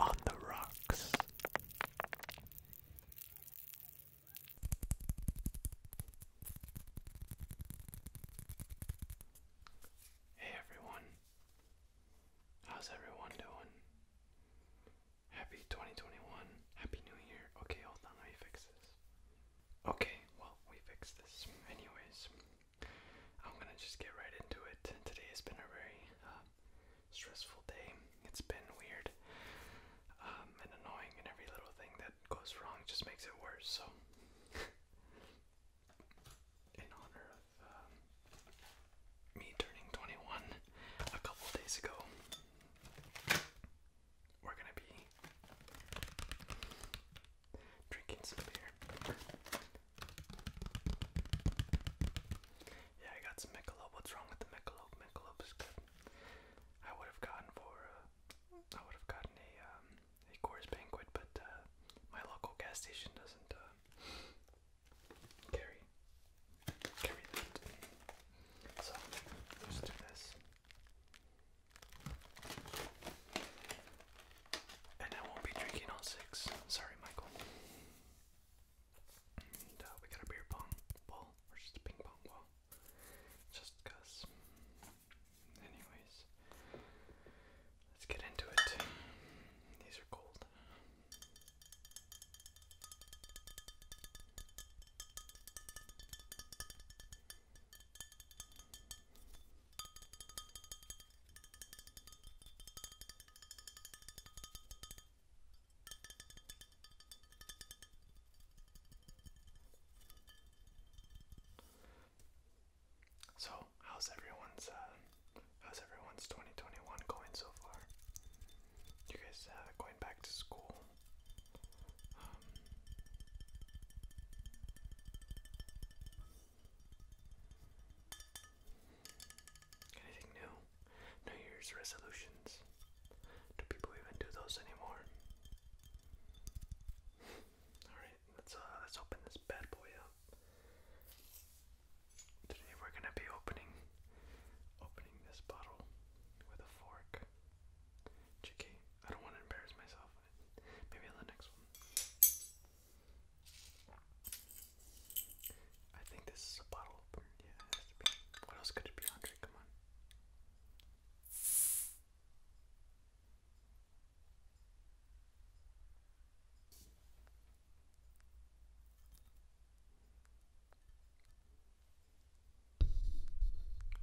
on the rocks. Hey everyone, how's everyone doing? Happy 2021, Happy New Year. Okay, hold on, let me fix this. Okay, well, we fixed this. Anyways, I'm gonna just get right into it. Today has been a very um, stressful day. It's been weird um, and annoying, and every little thing that goes wrong just makes it worse. So, in honor of um, me turning 21 a couple days ago, we're gonna be drinking some beer. yeah, I got some Michelob. What's wrong with the Michelob? Michelob good. I would have gotten for uh, I would have gotten a um, a Coors Banquet, but uh, my local gas station doesn't uh, carry carry that. So let's do this. And I won't be drinking all six. Sorry, Michael. Uh, we got a beer pong ball, or just ping pong ball. Anyways, let's get into it. These are cold. So, how's everyone's uh, how's everyone's 2021 going so far? You guys uh, going back to school? Um, Anything new? New Year's resolutions? Do people even do those anymore? Alright, let's uh let's open this bad boy up. Today we're gonna be opening opening this bottle with a fork. Chicky, I don't want to embarrass myself. Maybe on the next one. I think this is a bottle opener. Yeah, it has to be. What else could it be, Andre? Come on.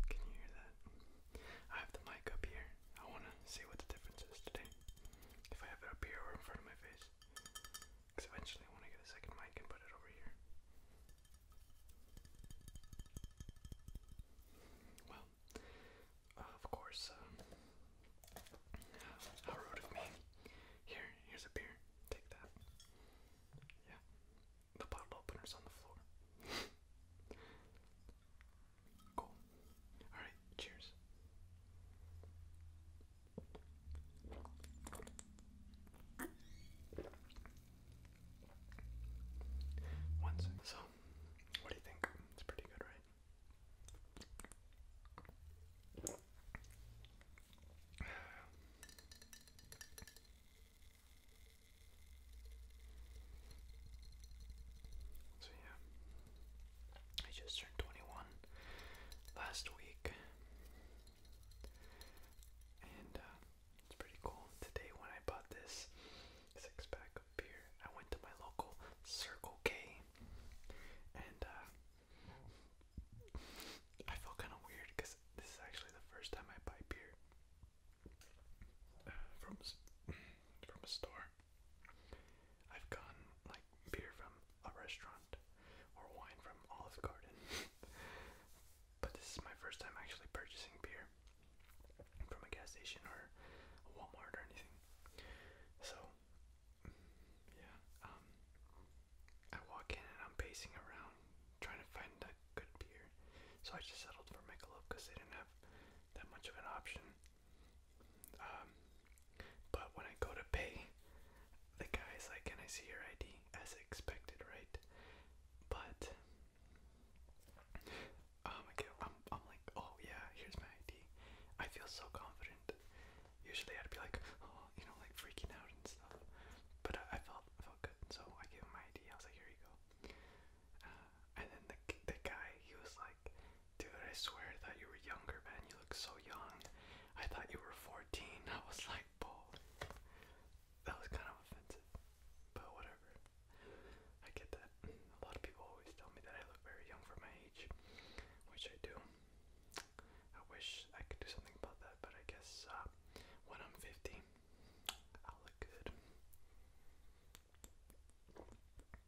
Can you hear that? I have the mic up here. I want to see what the difference is today if I have it up here in front of my face. Because eventually I want to get a second mic and put it over here. Well, uh, of course, um, uh, of me. Here, here's a beer. Take that. Yeah, the bottle opener's on the floor. cool. All right, cheers. One second. So, what do you think? It's pretty good, right? So yeah, I just turned 21 last week. And uh, it's pretty cool. Today, when I bought this six pack of beer, I went to my local Circle K and uh, I felt kind of weird because this is actually the first time I buy beer uh, from, from a store. I've gotten like beer from a restaurant or wine from Olive Garden. but this is my first time actually purchasing beer from a gas station or a Walmart or anything. So yeah, um, I walk in and I'm pacing around trying to find a good beer. So I just settled for Michelob because they didn't have that much of an option. Um, but when I go to pay, the guy's like, Can I see your ID? As expected, right? But um, okay, I'm, I'm like, Oh, yeah, here's my ID. I feel so confident. Usually I'd be like, Oh, you know, like freaking out and stuff. But I, felt I felt good, so I gave him my ID. I was like, Here you go. Uh, and then the, the guy, he was like, Dude, I swear that you were younger, man. You look so young. I thought you were 14. I was like, bull. That was kind of offensive, but whatever. I get that. A lot of people always tell me that I look very young for my age, which I do. I wish I could do something about that, but I guess uh, when I'm 50, I'll look good.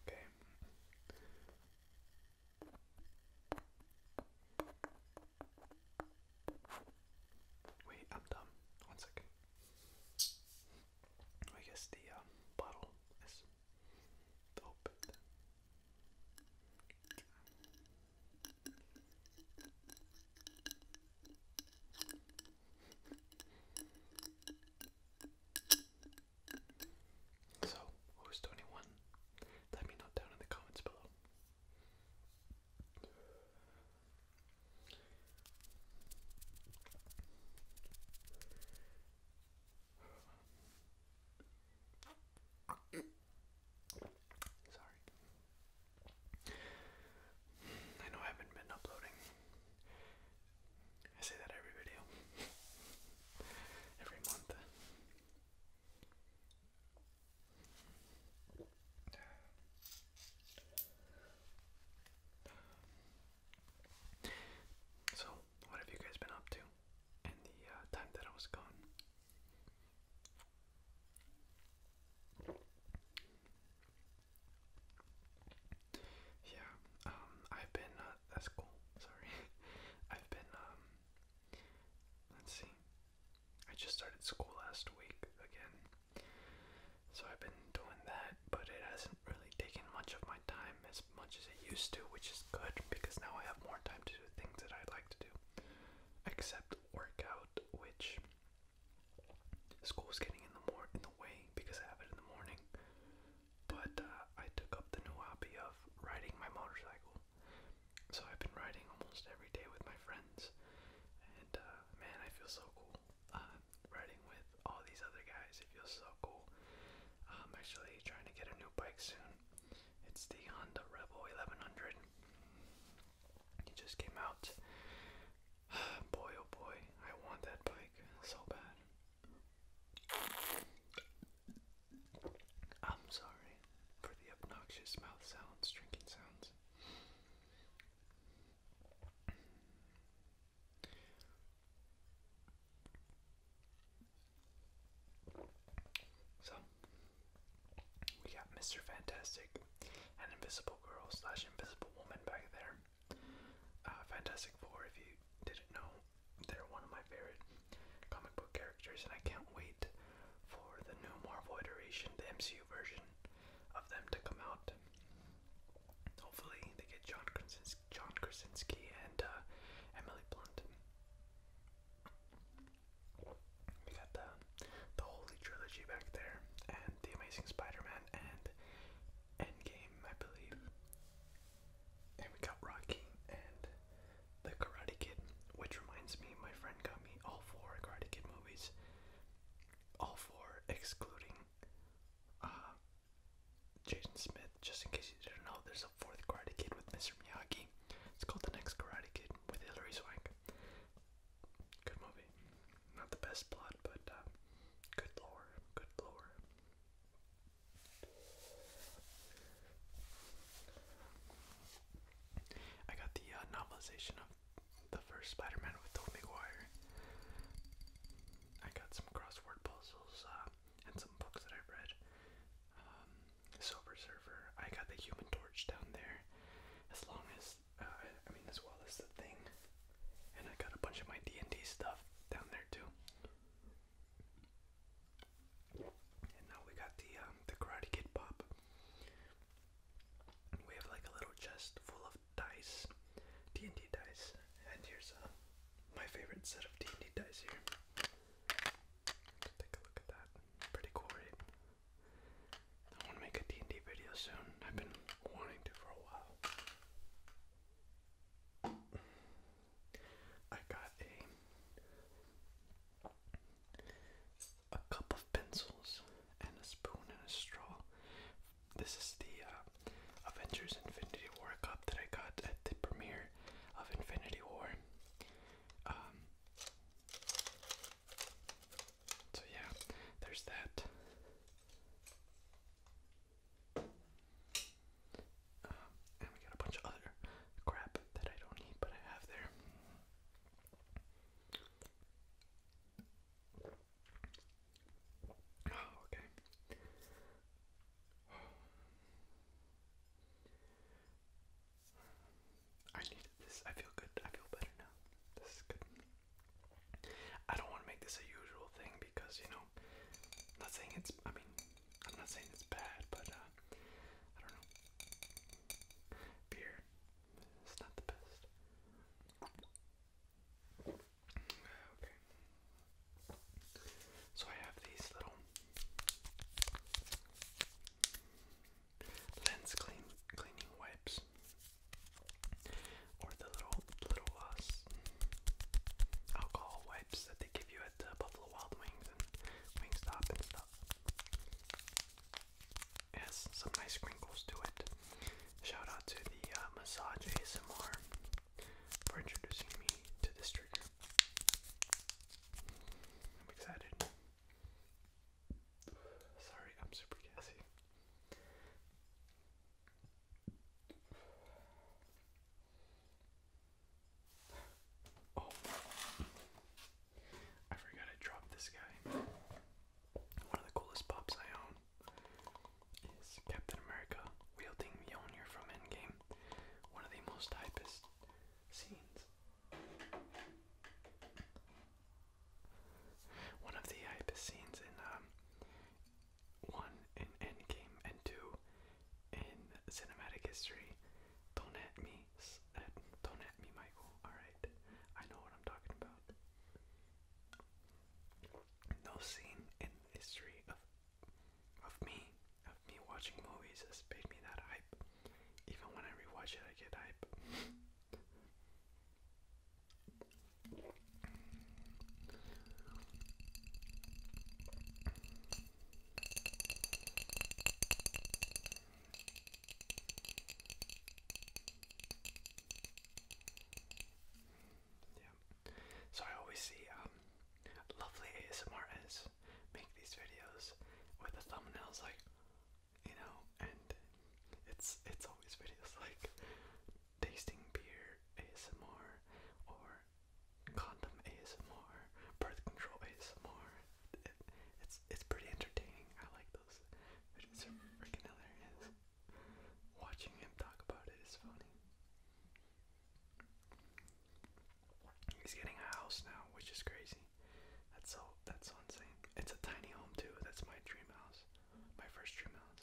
Okay. Wait, I'm dumb. One second. I guess the uh, bottle is opened. So, who's 21? Let me know down in the comments below. Sorry. I know I haven't been uploading I say that every video, every month. So, what have you guys been up to in the uh, time that I was gone? Yeah, um, I've been, uh, that's sorry. I've been, um, let's see, I just started school last week again. So I've been doing that, but it hasn't really taken much of my time as much as it used to, which is good because now I have more time to do things that I like to do, except workout, which school's getting in the more in the way because I have it in the morning. But uh, I took up the new hobby of riding my motorcycle. So I've been riding almost every day with my friends. And uh, man, I feel so cool. Uh, riding with all these other guys, it feels so cool. I'm actually trying to get a new bike soon. It's the Honda Rebel 1100. It just came out. boy, oh boy, I want that bike so bad. I'm sorry for the obnoxious mouth sounds, drinking sounds. So, we got Mr. Fantastic and Invisible Girl slash Invisible Woman back there. Uh, Fantastic Four, if you didn't know, they're one of my favorite comic book characters, and I can't wait for the new Marvel iteration, the MCU version of them to come out. Hopefully, they get John Krasinski, and uh, Emily Blunt. We got the the Holy Trilogy back there, and the Amazing Spider-Man, and Endgame, I believe. And we got Rocky and The Karate Kid, which reminds me, my friend got me all four Karate Kid movies. All four, excluding uh, Jason Smith. Just in case you didn't know, there's a fourth Karate Kid with Mr. Miyagi. It's called The Next Karate Kid with Hilary Swank. Good movie. Not the best plot, but uh, good lore. Good lore. I got the uh, novelization of the first Spider-Man with Tobey Maguire. I got some crossword puzzles uh, and some books that I've read. Um, Silver Surfer. I got the Human Torch down there, as long as uh, I mean, as well as the Thing. And I got a bunch of my D and D stuff down there too. And now we got the um, the Karate Kid pop. We have like a little chest full of dice, D&D dice, and here's uh, my favorite set of D&D dice here. Take a look at that. Pretty cool, right? I want to make a and d video soon. I've been wanting to for a while. I got a a cup of pencils and a spoon and a straw. This is the uh, Avengers Infinity War cup that I got at the premiere of Infinity War. Um, so yeah, there's that. Um, and we got a bunch of other crap that I don't need, but I have there. Oh, okay. I needed this. I feel good. I feel better now. This is good. I don't want to make this a usual thing because, you know, I'm not saying it's, I mean, I'm not saying it's bad, but uh, I don't know. Beer is not the best. Okay. So I have these little lens cleaning wipes, or the little little uh, alcohol wipes that they give you at uh, Buffalo Wild Wings and Wingstop and stuff. It some nice wrinkles to it. Shout out to the uh, Massage ASMR for introducing me to this trigger. I'm excited. Sorry, I'm super gassy. Oh, I forgot I dropped this guy. One of the coolest pops I own is Captain America wielding Mjolnir from Endgame. One of the most hypest scenes. One of the hypest scenes in um, one in Endgame and two in cinematic history. Don't at me, don't at me, Michael. All right, I know what I'm talking about. No scene in history of of me, of me watching movies, has made me that hype. Even when I rewatch it, I get hype. Yeah. So I always see um, lovely ASMR artists make these videos with the thumbnails like you know and it's it's always videos like tasting beer ASMR or condom ASMR, birth control ASMR. it's it's pretty entertaining. I like those. It's freaking Watching him talk about it is funny. He's getting a house now, which is crazy. That's so that's so insane. It's a tiny home too. That's my dream house. My first dream house.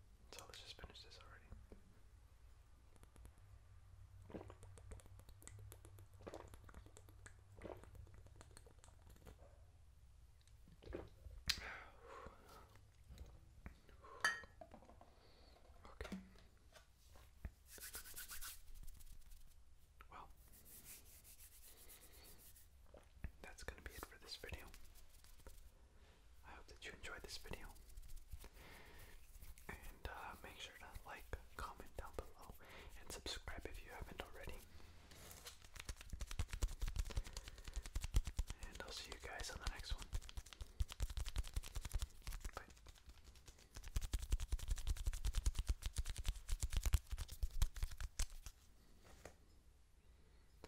So let's just finish this already. Okay. Well, that's going to be it for this video. I hope that you enjoyed this video. And uh, make sure to like, comment down below, and subscribe if you haven't already. And I'll see you guys on the next one. Bye.